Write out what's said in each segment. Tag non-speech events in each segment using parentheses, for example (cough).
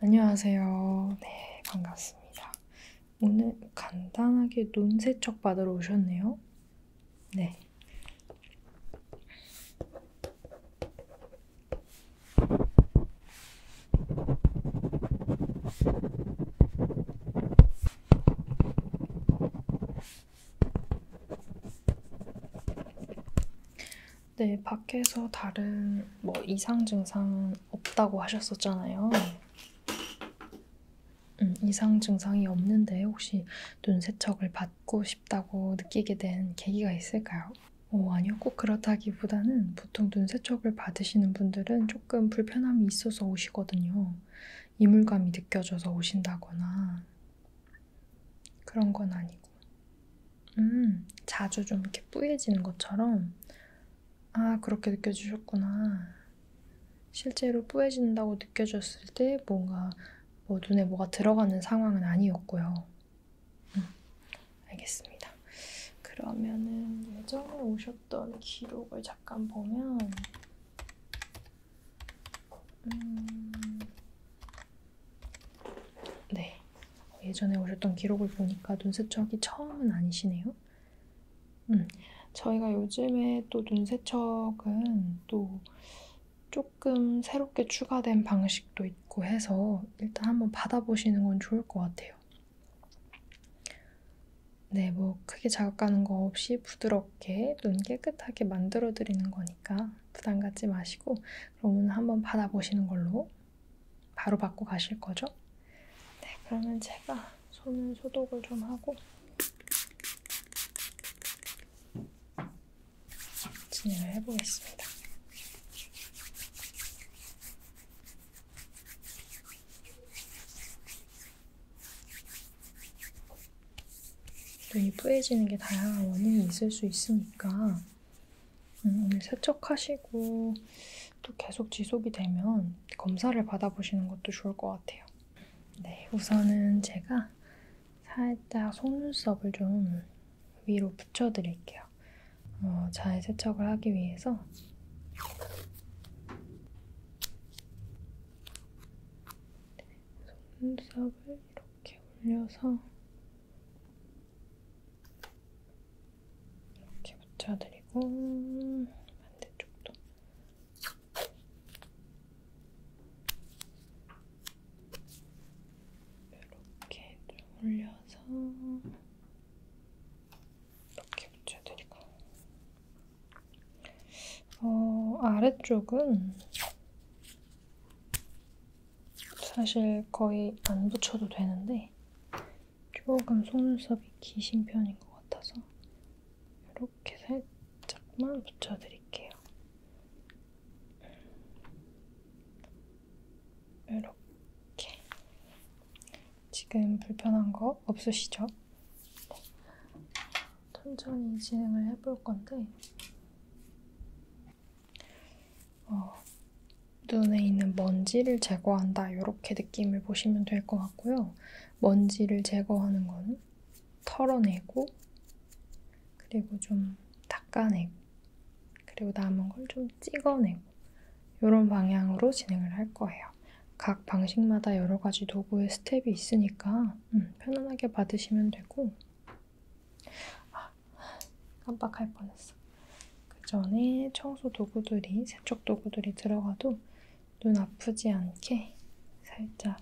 안녕하세요. 네, 반갑습니다. 오늘 간단하게 눈 세척 받으러 오셨네요. 네. 네, 밖에서 다른 뭐 이상 증상은 없다고 하셨었잖아요. 음, 이상 증상이 없는데 혹시 눈 세척을 받고 싶다고 느끼게 된 계기가 있을까요? 오, 어, 아니요. 꼭 그렇다기보다는 보통 눈 세척을 받으시는 분들은 조금 불편함이 있어서 오시거든요. 이물감이 느껴져서 오신다거나 그런 건 아니고. 음, 자주 좀 이렇게 뿌얘지는 것처럼. 아, 그렇게 느껴지셨구나. 실제로 뿌얘진다고 느껴졌을 때 뭔가 뭐 눈에 뭐가 들어가는 상황은 아니었고요. 음, 알겠습니다. 그러면은 예전에 오셨던 기록을 잠깐 보면, 음, 네. 예전에 오셨던 기록을 보니까 눈세척이 처음은 아니시네요. 음, 저희가 요즘에 또 눈세척은 또 조금 새롭게 추가된 방식도 있고 해서 일단 한번 받아보시는 건 좋을 것 같아요. 네, 뭐 크게 자극 가는 거 없이 부드럽게 눈 깨끗하게 만들어 드리는 거니까 부담 갖지 마시고 그러면 한번 받아보시는 걸로. 바로 받고 가실 거죠? 네, 그러면 제가 손은 소독을 좀 하고 진행을 해보겠습니다. 눈이 뿌얘지는 게 다양한 원인이 있을 수 있으니까 음, 오늘 세척하시고 또 계속 지속이 되면 검사를 받아보시는 것도 좋을 것 같아요. 네, 우선은 제가 살짝 속눈썹을 좀 위로 붙여드릴게요. 어, 잘 세척을 하기 위해서 속눈썹을 이렇게 올려서 이렇게 붙여드리고 반대쪽도 이렇게 좀 올려서 이렇게 붙여드리고 어, 아래쪽은 사실 거의 안 붙여도 되는데 조금 속눈썹이 기신 편인 것 같아서 이렇게 살짝만 붙여드릴게요. 이렇게 지금 불편한 거 없으시죠? 천천히 진행을 해볼 건데 어, 눈에 있는 먼지를 제거한다 이렇게 느낌을 보시면 될 것 같고요. 먼지를 제거하는 건 털어내고 그리고 좀 닦아내고 그리고 남은 걸 좀 찍어내고 이런 방향으로 진행을 할 거예요. 각 방식마다 여러 가지 도구의 스텝이 있으니까 음, 편안하게 받으시면 되고 아, 깜빡할 뻔했어. 그 전에 청소 도구들이, 세척 도구들이 들어가도 눈 아프지 않게 살짝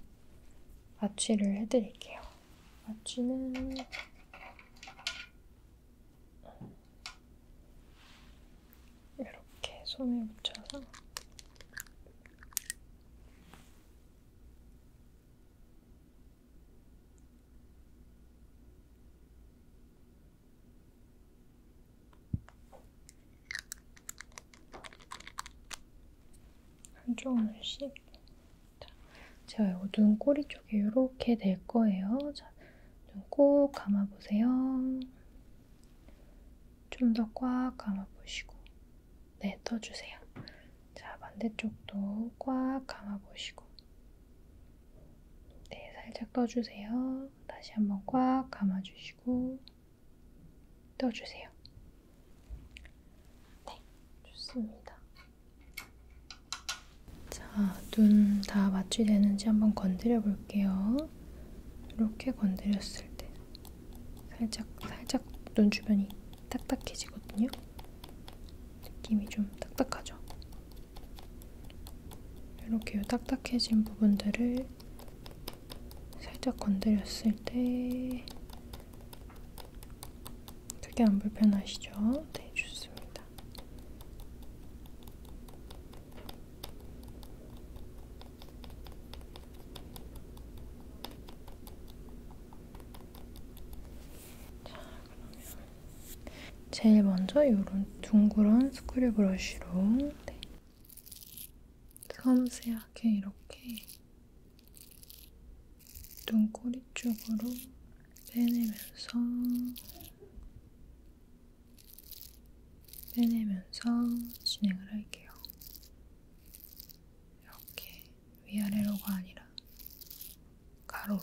마취를 해드릴게요. 마취는 이렇게 손에 묻혀서 한쪽 눈씩. 자, 제가 요눈 꼬리 쪽에 이렇게 될 거예요. 자, 눈 꼭 감아보세요. 좀 더 꽉 감아보시고. 네, 떠주세요. 자, 반대쪽도 꽉 감아보시고. 네, 살짝 떠주세요. 다시 한번 꽉 감아주시고 떠주세요. 네, 좋습니다. 자, 눈 다 마취되는지 한번 건드려 볼게요. 이렇게 건드렸을 때 살짝 살짝 눈 주변이 딱딱해지거든요. 느낌이 좀 딱딱하죠? 이렇게 딱딱해진 부분들을 살짝 건드렸을 때 크게 안 불편하시죠? 네, 좋습니다. 자, 그러면 제일 먼저 이런 둥그런 스크류 브러쉬로 네. 섬세하게 이렇게 눈꼬리 쪽으로 빼내면서 빼내면서 진행을 할게요. 이렇게 위아래로가 아니라 가로로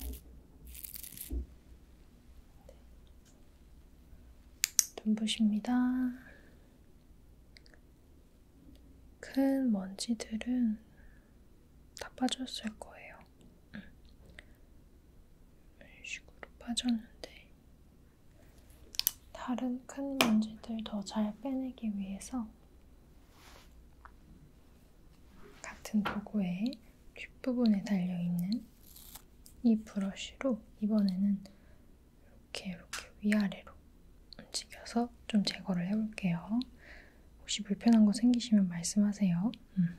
네. 눈부십니다. 큰 먼지들은 다 빠졌을 거예요. 음. 이런 식으로 빠졌는데 다른 큰 먼지들 더 잘 빼내기 위해서 같은 도구의 뒷부분에 달려있는 이 브러쉬로 이번에는 이렇게 이렇게 위아래로 움직여서 좀 제거를 해볼게요. 혹시 불편한 거 생기시면 말씀하세요. 음.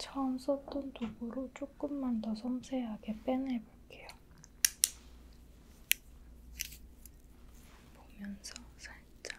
처음 썼던 도구로 조금만 더 섬세하게 빼내볼게요. 보면서 살짝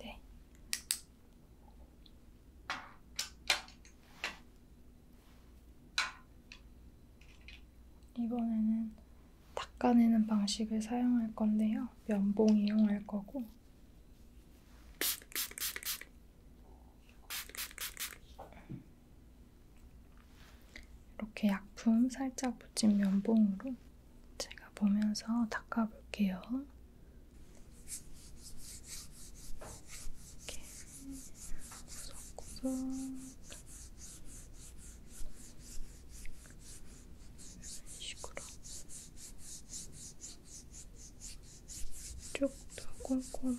네. 이번에는 닦아내는 방식을 사용할 건데요. 면봉 이용할 거고 이렇게 약품 살짝 묻힌 면봉으로 제가 보면서 닦아볼게요. 이렇게 구석구석 이런 식으로 쪽도 꼼꼼하게 음.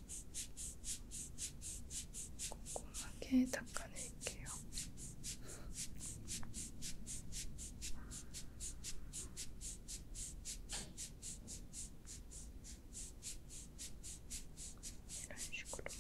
꼼꼼하게 닦아낼게요. 이런 식으로.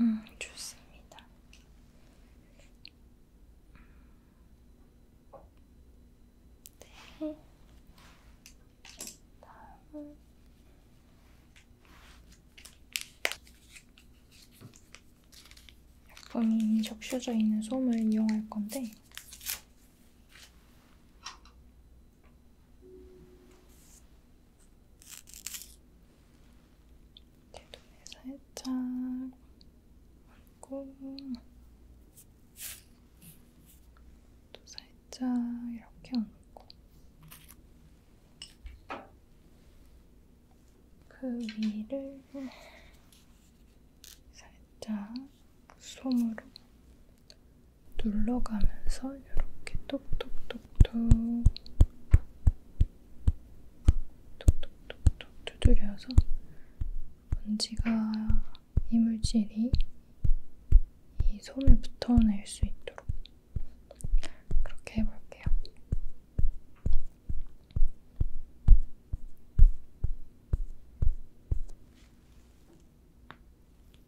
음, 좋습니다. 네. 다음은 약품이 적셔져 있는 솜을 이용할 건데 대도에 살짝 얹고 또 살짝 이렇게 얹고 그 위를 살짝 솜으로 눌러가면서 이렇게 톡톡톡톡 톡톡톡톡 두드려서 먼지가 이물질이 이 솜에 붙어낼 수 있도록 그렇게 해볼게요.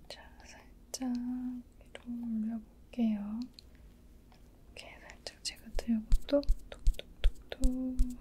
자, 살짝 위로 올려볼게요. 이렇게 살짝 제가 들고도 톡톡톡톡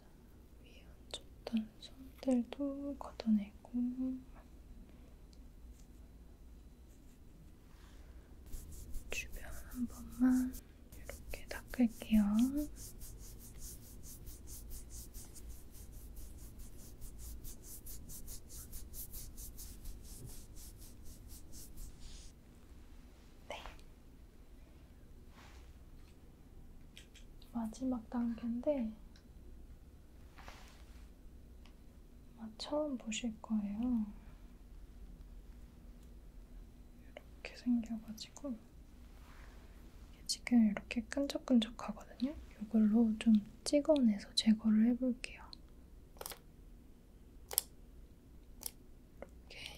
자, 위에 안 줬던 손들도 걷어내고 주변 한 번만 이렇게 닦을게요. 네. 마지막 단계인데 아마 처음 보실 거예요. 이렇게 생겨가지고 지금 이렇게 끈적끈적하거든요. 이걸로 좀 찍어내서 제거를 해볼게요. 이렇게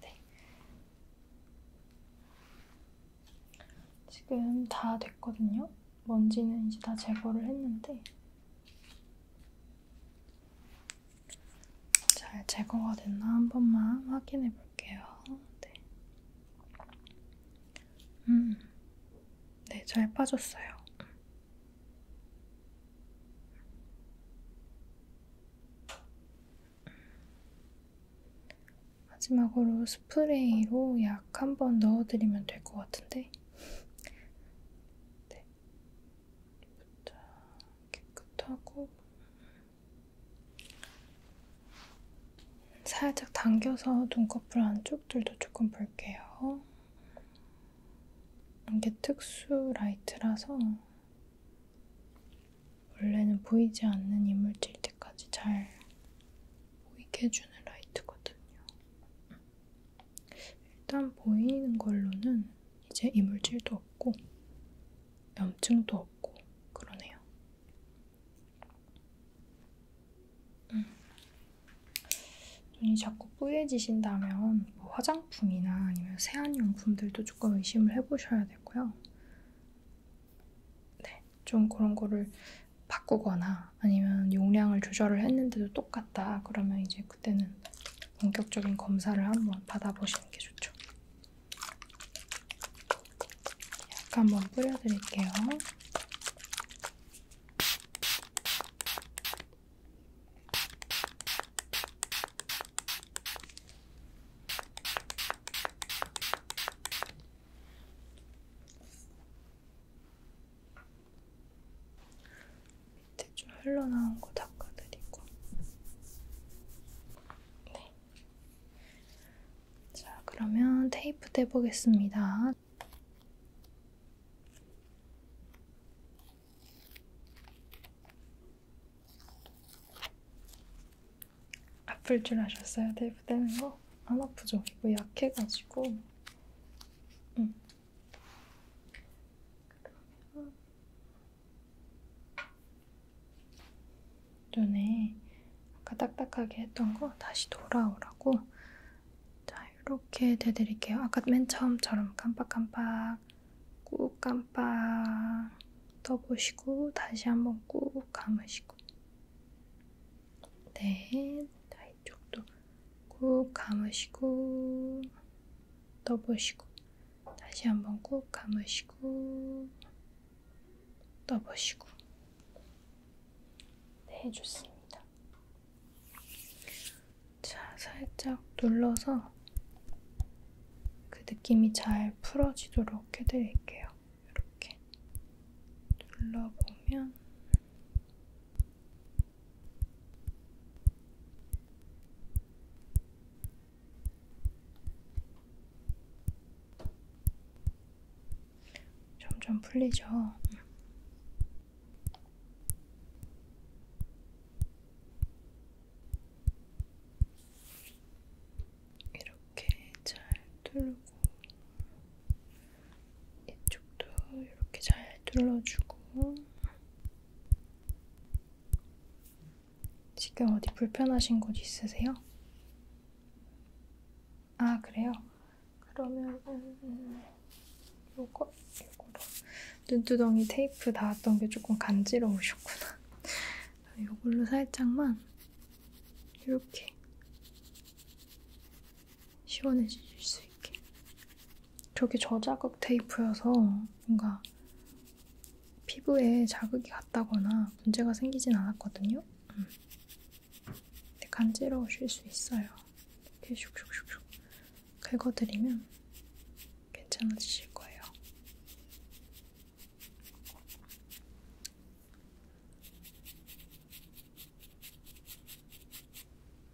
네. 지금 다 됐거든요. 먼지는 이제 다 제거를 했는데 잘 제거가 됐나 한 번만 확인해 볼게요. 네. 음. 네, 잘 빠졌어요. 마지막으로 스프레이로 약 한 번 넣어드리면 될 것 같은데. 네. 일단 깨끗하고 살짝 당겨서 눈꺼풀 안쪽들도 조금 볼게요. 이게 특수 라이트라서 원래는 보이지 않는 이물질 때까지 잘 보이게 해주는 라이트거든요. 일단 보이는 걸로는 이제 이물질도 없고 염증도 없고 그러네요. 음. 눈이 자꾸 뿌얘지신다면 뭐 화장품이나 아니면 세안용품들도 조금 의심을 해보셔야 되고요. 네, 좀 그런 거를 바꾸거나 아니면 용량을 조절을 했는데도 똑같이 같다. 그러면 이제 그때는 본격적인 검사를 한번 받아보시는 게 좋죠. 약 한번 뿌려드릴게요. 밑에 좀 흘러나온 거 닦아드리고 네. 자, 그러면 테이프 떼보겠습니다. 아플 줄 아셨어요? 테이프 떼는 거? 안 아프죠? 이거 뭐 약해가지고 음. 그러면 눈에 아까 딱딱하게 했던 거 다시 돌아오라고 자 이렇게 대드릴게요. 아까 맨 처음처럼 깜빡깜빡 꾹 깜빡 떠보시고 다시 한번 꾹 감으시고 네, 자 이쪽도 꾹 감으시고 떠보시고 다시 한 번 꾹 감으시고 떠보시고 네, 좋습니다. 자, 살짝 눌러서 그 느낌이 잘 풀어지도록 해드릴게요. 이렇게 눌러보면 점점 풀리죠. 이렇게 잘 뚫고 이쪽도 이렇게 잘 둘러주고 지금 어디 불편하신 곳 있으세요? 아 그래요? 그러면 음, 요거 요거로 눈두덩이 테이프 닿았던 게 조금 간지러우셨구나. (laughs) 요걸로 살짝만 이렇게 시원해질 수 있게 저게 저자극 테이프여서 뭔가 피부에 자극이 갔다거나 문제가 생기진 않았거든요. 음. 근데 간지러우실 수 있어요. 이렇게 슉슉슉슉 긁어드리면 괜찮아지실 거예요.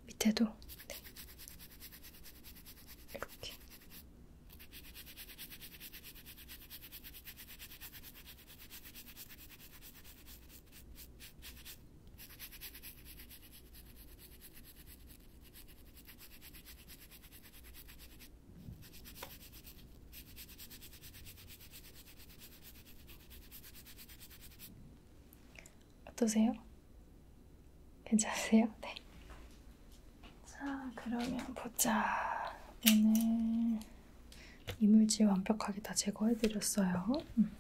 밑에도 네. 이렇게 어떠세요? 괜찮으세요? 네. 자, 그러면 보자. 오늘 이물질 완벽하게 다 제거해드렸어요. 음.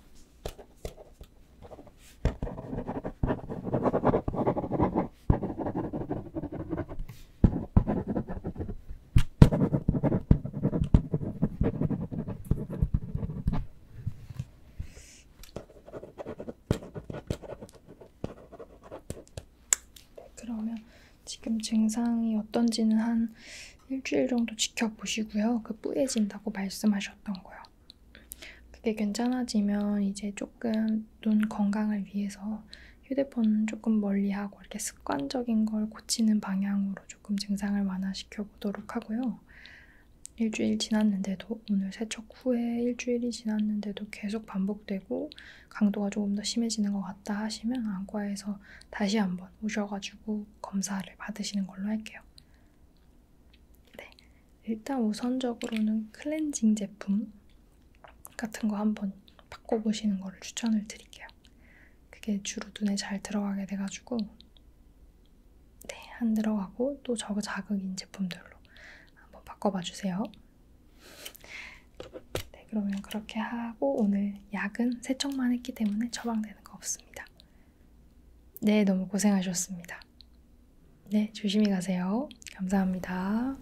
네, 그러면 지금 증상이 어떤지는 한 일주일 정도 지켜보시고요. 그 뿌얘진다고 말씀하셨던 거요. 그게 괜찮아지면 이제 조금 눈 건강을 위해서 휴대폰 조금 멀리하고 이렇게 습관적인 걸 고치는 방향으로 조금 증상을 완화시켜 보도록 하고요. 일주일 지났는데도 오늘 세척 후에 일주일이 지났는데도 계속 반복되고 강도가 조금 더 심해지는 것 같다 하시면 안과에서 다시 한번 오셔가지고 검사를 받으시는 걸로 할게요. 네, 일단 우선적으로는 클렌징 제품 같은 거 한번 바꿔보시는 거를 추천을 드릴게요. 그게 주로 눈에 잘 들어가게 돼가지고 네, 한 들어가고 또 저거 자극인 제품들로 한번 바꿔봐 주세요. 네, 그러면 그렇게 하고 오늘 약은 세척만 했기 때문에 처방되는 거 없습니다. 네, 너무 고생하셨습니다. 네, 조심히 가세요. 감사합니다.